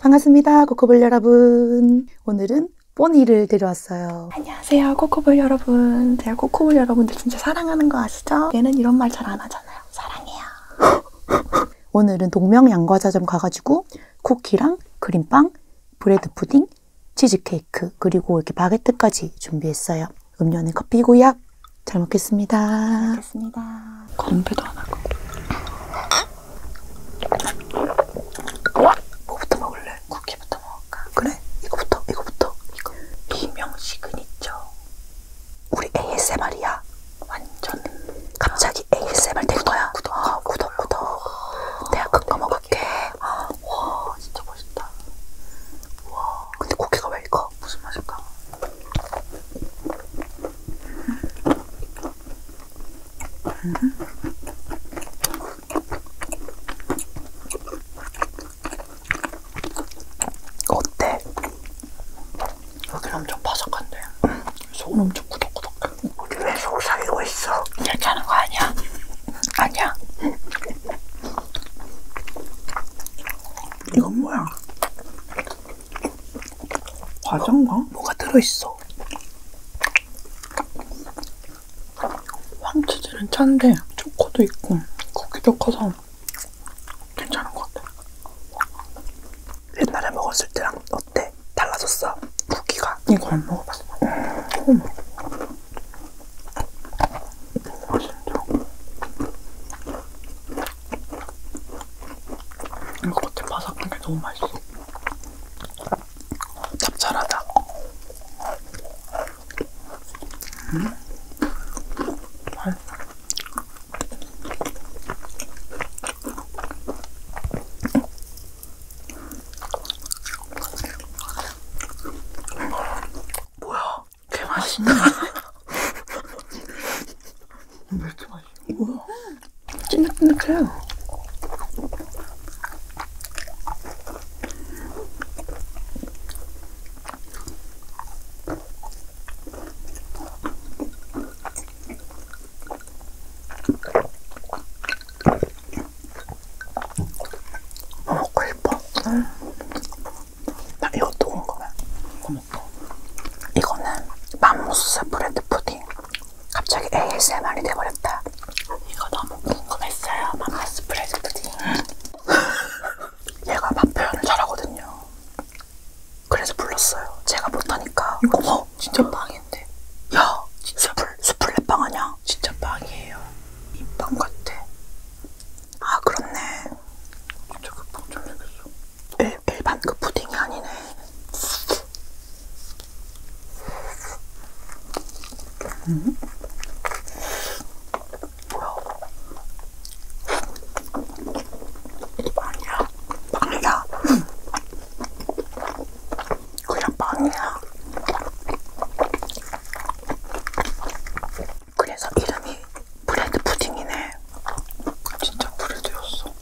반갑습니다. 코코볼 여러분. 오늘은 뽀니를 데려왔어요. 안녕하세요. 코코볼 여러분. 제가 코코볼 여러분들 진짜 사랑하는 거 아시죠? 얘는 이런 말 잘 안 하잖아요. 사랑해요. 오늘은 동명 양과자점 가가지고 쿠키랑 크림빵, 브레드 푸딩, 치즈케이크, 그리고 이렇게 바게트까지 준비했어요. 음료는 커피고요. 잘 먹겠습니다. 잘 먹겠습니다. 건배도 안 하고. 뭐부터 먹을래? 쿠키부터 먹을까? 그래? 이거부터, 이거부터. 이거. 이명 시그니처. 우리 ASMR이야. 완전. 갑자기 ASMR 된 거야. 구독, 어, 구독, 구독. 내가 그거 먹을게. 와, 진짜 멋있다. 와. 근데 고기가 왜 이거? 무슨 맛일까? 음. 어때? 여기 엄청 바삭한데 응. 속은 엄청 꾸덕꾸덕해 우리 왜속 사귀고 있어? 괜찮은 거 아니야? 아니야 이건 뭐야? 과자인가? 뭐가 들어있어? 황치즈는 찬데 초코도 있고 쿠키도 커서 괜찮은 것 같아. 옛날에 먹었을 때랑 어때? 달라졌어? 쿠키가? 이거 안 먹어봤어. 음. 이거 겉에 바삭한 게 너무 맛있어. 짭짤하다. 음? 맛있어. 음. 뭐야? 개 맛있네. 왜 이렇게 맛있어? 뭐야? 찐득찐득해요. 먹고 싶어. 응. 나 이것도 궁금해. 어묵도. 이거는 맘모스 브레드 푸딩. 갑자기 ASMR이 돼버렸다. 이거 너무 궁금했어요. 맘모스 브레드 푸딩. 얘가 맛 표현을 잘하거든요. 그래서 불렀어요. 제가 못하니까. 이거 어머, 진짜 빵인데. 야, 진짜 불, 수플레빵 아냐? 진짜 빵이에요. 이 빵 같아. 아 그렇네. 진짜 급한 좀 생겼어. 일, 네, 일반 그 푸딩이 아니네. 음? 뭐야? 빵이야. 빵이야. 그냥 빵이야. 그래서 이름이 브레드 푸딩이네. 진짜 브레드였어.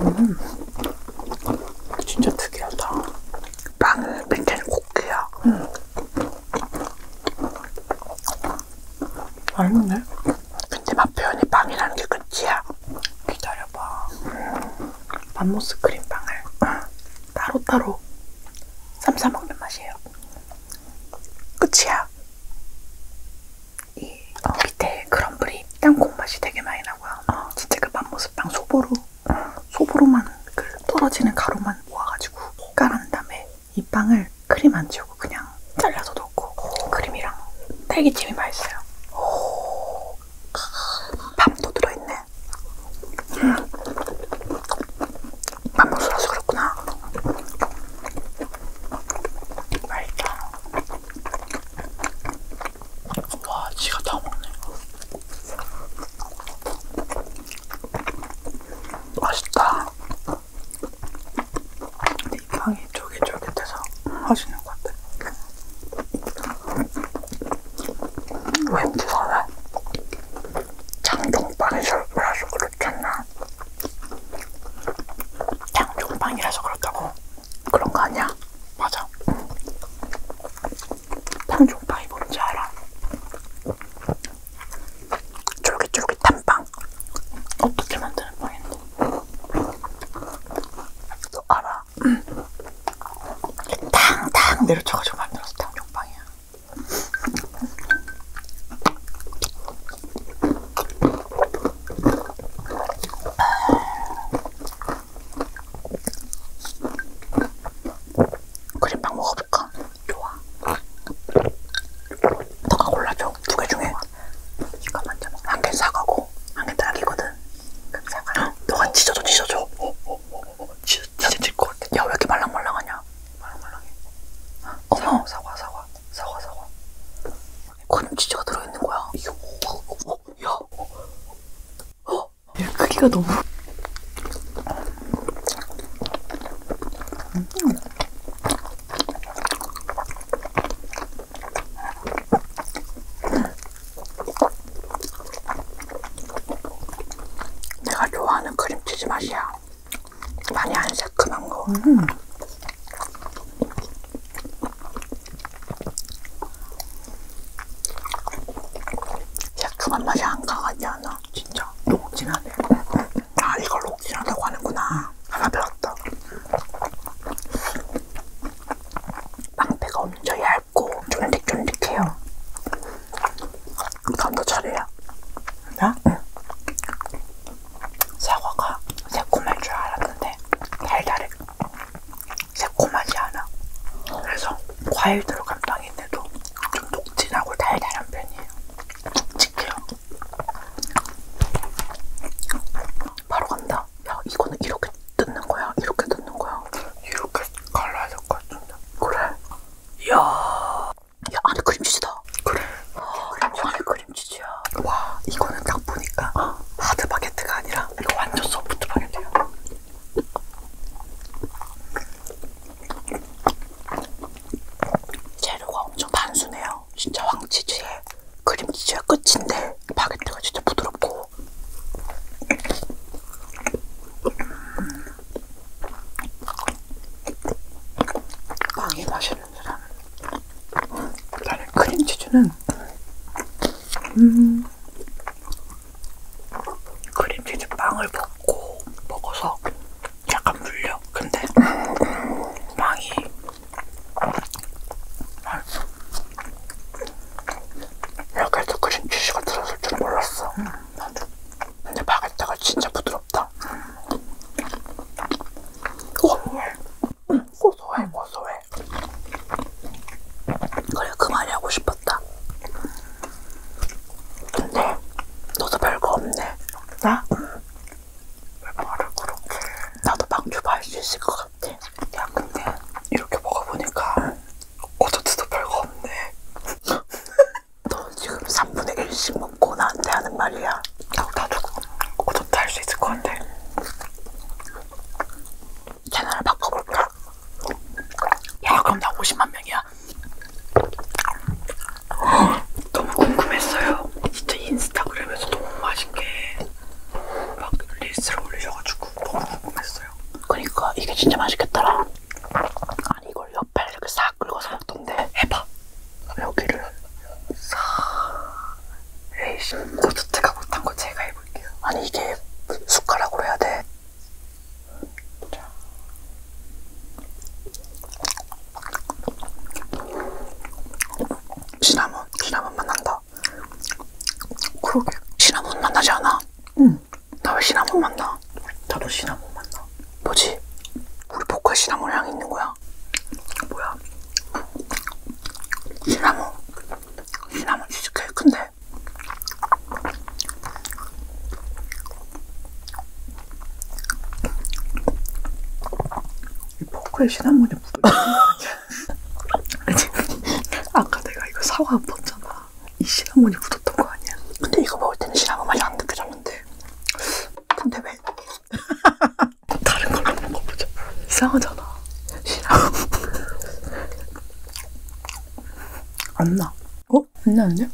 음. 진짜 특이하다. 빵은 맨날 고기야. 음. 맛있네. 근데 맛 표현이 빵이라는 게 끝이야. 기다려봐. 음. 맘모스 크림빵을 따로따로 쌈싸먹는 맛이에요. 끝이야. 이 어, 밑에 크럼블이 땅콩 맛이 되게 많이 나고요. 어, 진짜 그 맛모습 빵 소보로 소보로만 그 떨어지는 가루만 모아가지고 깔아낸 다음에 이 빵을 크림 안 치우고 그냥 잘라서 넣고 크림이랑 딸기찜이 맛있어요. 아, 밥도 들어있네. 음. 만보스라서 그렇구나. 맛있다. 와, 지가 다 먹네. 맛있다. 근데 이 빵이 쫄깃쫄깃해서 맛있는 것 같아. 왠지 설레. 장종빵에서 그래서 그렇잖아. 장종빵이라서 그렇다고? 그런 거 아니야? 맞아. 응. 장종빵이 뭔지 알아? 쫄깃쫄깃한 빵. 어떻게 만드는 빵인데? 너 알아? 응. 탕탕 내려쳐가지고 만들어서 탕종빵이야. 그림빵 먹어볼까? 좋아. 너가 골라줘. 두 개 중에. 이거 먼저 먹 한개 사과고, 한개 딸기거든. 그럼 사과. 너가 찢어줘, 찢어줘. 어, 어, 어. 지, 사진 찍고 야왜 이렇게 말랑말랑하냐 말랑말랑해 어? 어머 사과 사과 사과 사과 권치즈가 들어있는 거야 이게 어, 뭐, 뭐, 뭐, 야 어? 야 크기가 너무 음. 내가 좋아하는 크림치즈 맛이야. 많이 안 새큼한 거. 음. 새큼한 맛이 안 강하지 않아. 진짜 녹진하네. 아 이걸 녹진하다고 하는구나. 하나 배웠다. 빵패가 엄청 얇고 쫀득쫀득해요. 그럼 너 차례야. 나? 응. 사과가 새콤할 줄 알았는데 달달해. 새콤하지 않아. 그래서 과일 들어간 빵인데도 좀 녹진하고 달달한 편이에요. 묵직해요. 바로 간다. 야 이거는 이렇게 뜯는 거야? 이렇게 뜯는 거야? 이렇게 갈라야 될것 같은데. 그래. 이야. 야, 안에 크림치즈다. 그래. 어, 크림치즈. 안에 크림치즈야. 와, 이거는 딱 보니까 어. 하드 바게트가 아니라 이거 완전 소프트 바게트야. 재료가 엄청 단순해요. 진짜 황치즈에 크림치즈가 끝인데 바게트가 진짜 부드럽고 음. 빵이 맛있는 사람. 나는 크림치즈는 음, 크림치즈 빵을 먹고 먹어서 약간 물려. 근데 빵이 이렇게 아, 해서 크림치즈가 들었을 줄 몰랐어. 음. 나도. 근데 바게트가 진짜 부드럽다. 고소해. 어? 응, 고소해, 고소해. 그래, 그 말이 하고 싶었다. 근데 너도 별거 없네. 나? 응. 왜 말을 그렇게. 나도 방주봐할 수 있을 것 같아. 야, 근데 이렇게 먹어보니까 어저트도 별거 없네. 너 지금 3분의 1씩 먹고 나한테 하는 말이야. 나, 나도 어떻게 할수 있을 것 같아. 채널을 바꿔볼까? 야 그럼 나 50만 명이야. 너무 궁금했어요. 진짜 인스타그램에서 너무 맛있게 막 릴스를 올리셔가지고 너무 궁금했어요. 그러니까 이게 진짜 맛있겠더라. 난 이걸 옆에 이렇게 싹 긁어서 먹던데 해봐 여기를 싹 에이씨 고추트가 못한 거 제가 해볼게요 아니 이게 숟가락으로 해야 돼 시나몬, 시나몬 맛 난다 그러게 시나몬 맛 나지 않아? 응 나왜 시나몬 맛나? 나도 시나몬 맛나. 뭐지? 우리 보컬 시나몬 향이 있는 거야? 뭐야? 시나몬. 시나몬 치즈케이크인데. 이 포크에 시나몬이 묻어 아까 내가 이거 사과 안 봤잖아 이 시나몬이 굳었던 거 아니야? 근데 이거 먹을 때는 시나몬 많이 안 느껴졌는데 근데 왜? 다른 걸로 먹어보자 이상하잖아 시나몬 안나 어? 안 나는데?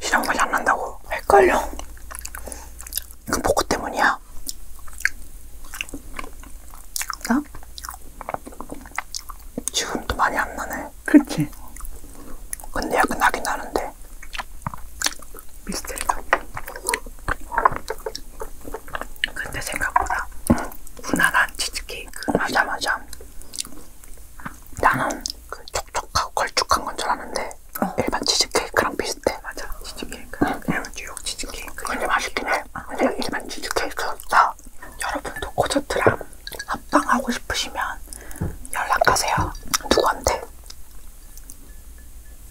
시나몬 맛이 안 난다고 헷갈려 이거 포크 때문이야 나? 지금도 많이 안 나네. 그치? 근데 약간 나긴 나는데. 미스테리가. 근데 생각보다 응. 무난한 치즈케이크. 맞아, 맞아. 나는 그 촉촉하고 걸쭉한 건줄 알았는데 어. 일반 치즈케이크랑 비슷해. 맞아, 치즈케이크. 응. 일반 뉴욕 치즈케이크. 근데 맛있긴 해. 근데 일반 치즈케이크보다 있어요. 여러분도 코저트랑 합방하고 싶으시면 연락하세요. 누구한테?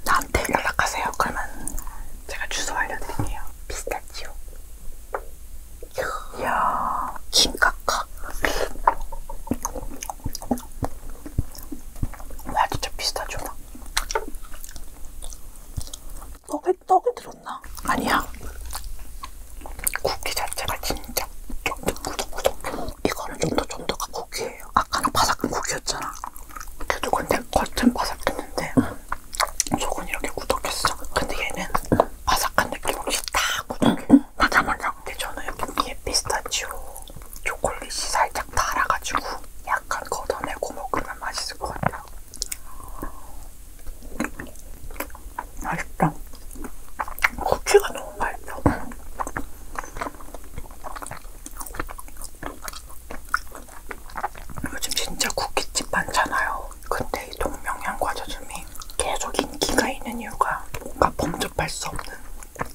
나한테 연락하세요. 그러면 제가 주소 알려드릴게요. 피스타치오. 이야, 김카카. 와, 진짜 피스타치오다. 떡이 떡이 들었나? 아니야. 쿠키 자체가 진짜 쫀득 꾸덕꾸덕. 이거는 좀더 쫀득한 쿠키예요. 아까는 바삭한 쿠키였잖아. 그래도 근데 겉은 바삭했는데 속은 이렇게 꾸덕했어. 근데 얘는 바삭한 느낌 없이 다 꾸덕해. 맞아 맞아. 근데 저는 여기에 피스타치오 초콜릿이 살짝 달아가지고 약간 걷어내고 먹으면 맛있을 것 같아요. 맛있다. 고추가 너무 맛있다. 요즘 진짜 쿠키집 많잖아요. 근데 이 동명양 과자점이 계속 인기가 있는 이유가 뭔가 범접할 수 없는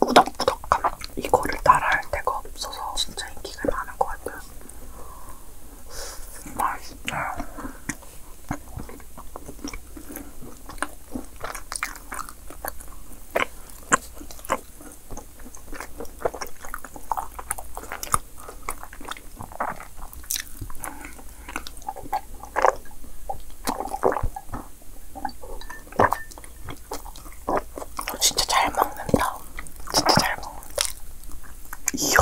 꾸덕꾸덕함. 이거를 따라할 데가 없어서 진짜 인기가 많은 것 같아요. 맛있어요. 진짜 잘 먹는다. 진짜 잘 먹는다. 이요.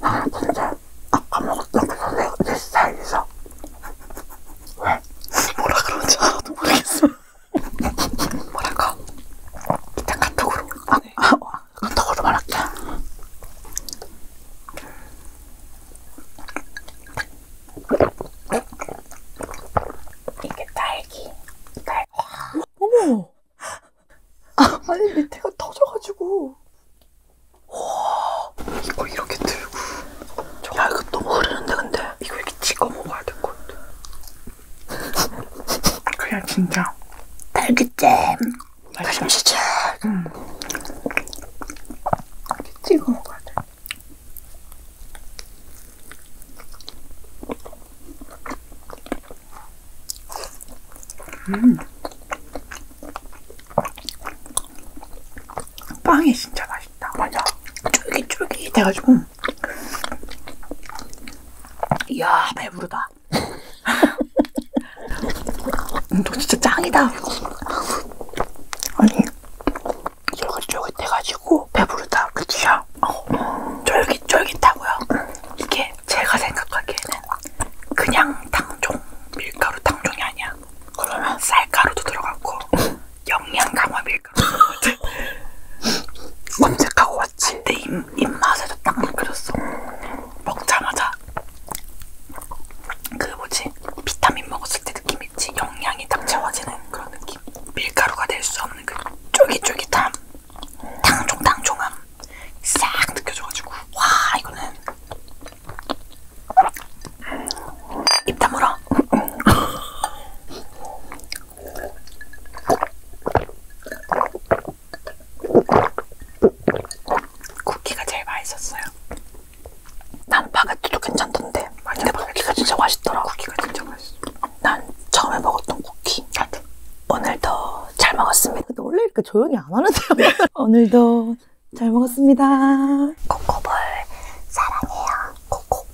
아 근데 아까 먹었던 그 선생님 내 스타일이죠? 왜? 뭐라 그런지 하나도 모르겠어 뭐랄까 일단 카톡으로 아, 네. 아, 어, 카톡으로 말할게 어? 이게 딸기 딸 어머 아, 아니 밑에가 터져가지고 와 이거 이렇게 들고 야 이거 너무 흐르는데 근데 이거 이렇게 찍어 먹어야 될 것 같아 그냥 진짜 딸기잼 딸기잼 응. 이렇게 찍어 먹어야 돼 음. 빵이 진짜 맛있다. 맞아. 쫄깃쫄깃해가지고. 이야, 배부르다. 음, 너 진짜 짱이다. 아니, 쫄깃쫄깃해가지고 배부르다. 그치야? 어, 쫄깃쫄깃하고요. 이게 제가 생각하기에는 그냥 당종, 밀가루 당종이 아니야. 그러면 쌀가루도 들어갔고 영양 강화 밀가루 같은 검색하고 왔지. 내 입, 입맛에도 딱 그렸어. 먹자마자 그 뭐지 비타민 먹었을 때 느낌 있지. 영양이 딱 채워지는 그런 느낌. 밀가루가 될 수 없는 그 쫄깃쫄깃함, 당종 당종함. 싹 느껴져가지고 와 이거는 입 다물어 쿠키가 제일 맛있었어요 난 바게트도 괜찮던데 맞아, 근데 바게트가 진짜 맛있더라 쿠키가 진짜 맛있어 난 처음에 먹었던 쿠키 같아 오늘도 잘 먹었습니다. 근데 원래 이렇게 조용히 안 하는데요. 오늘도 잘 먹었습니다. 코코볼 사랑해요. 코코.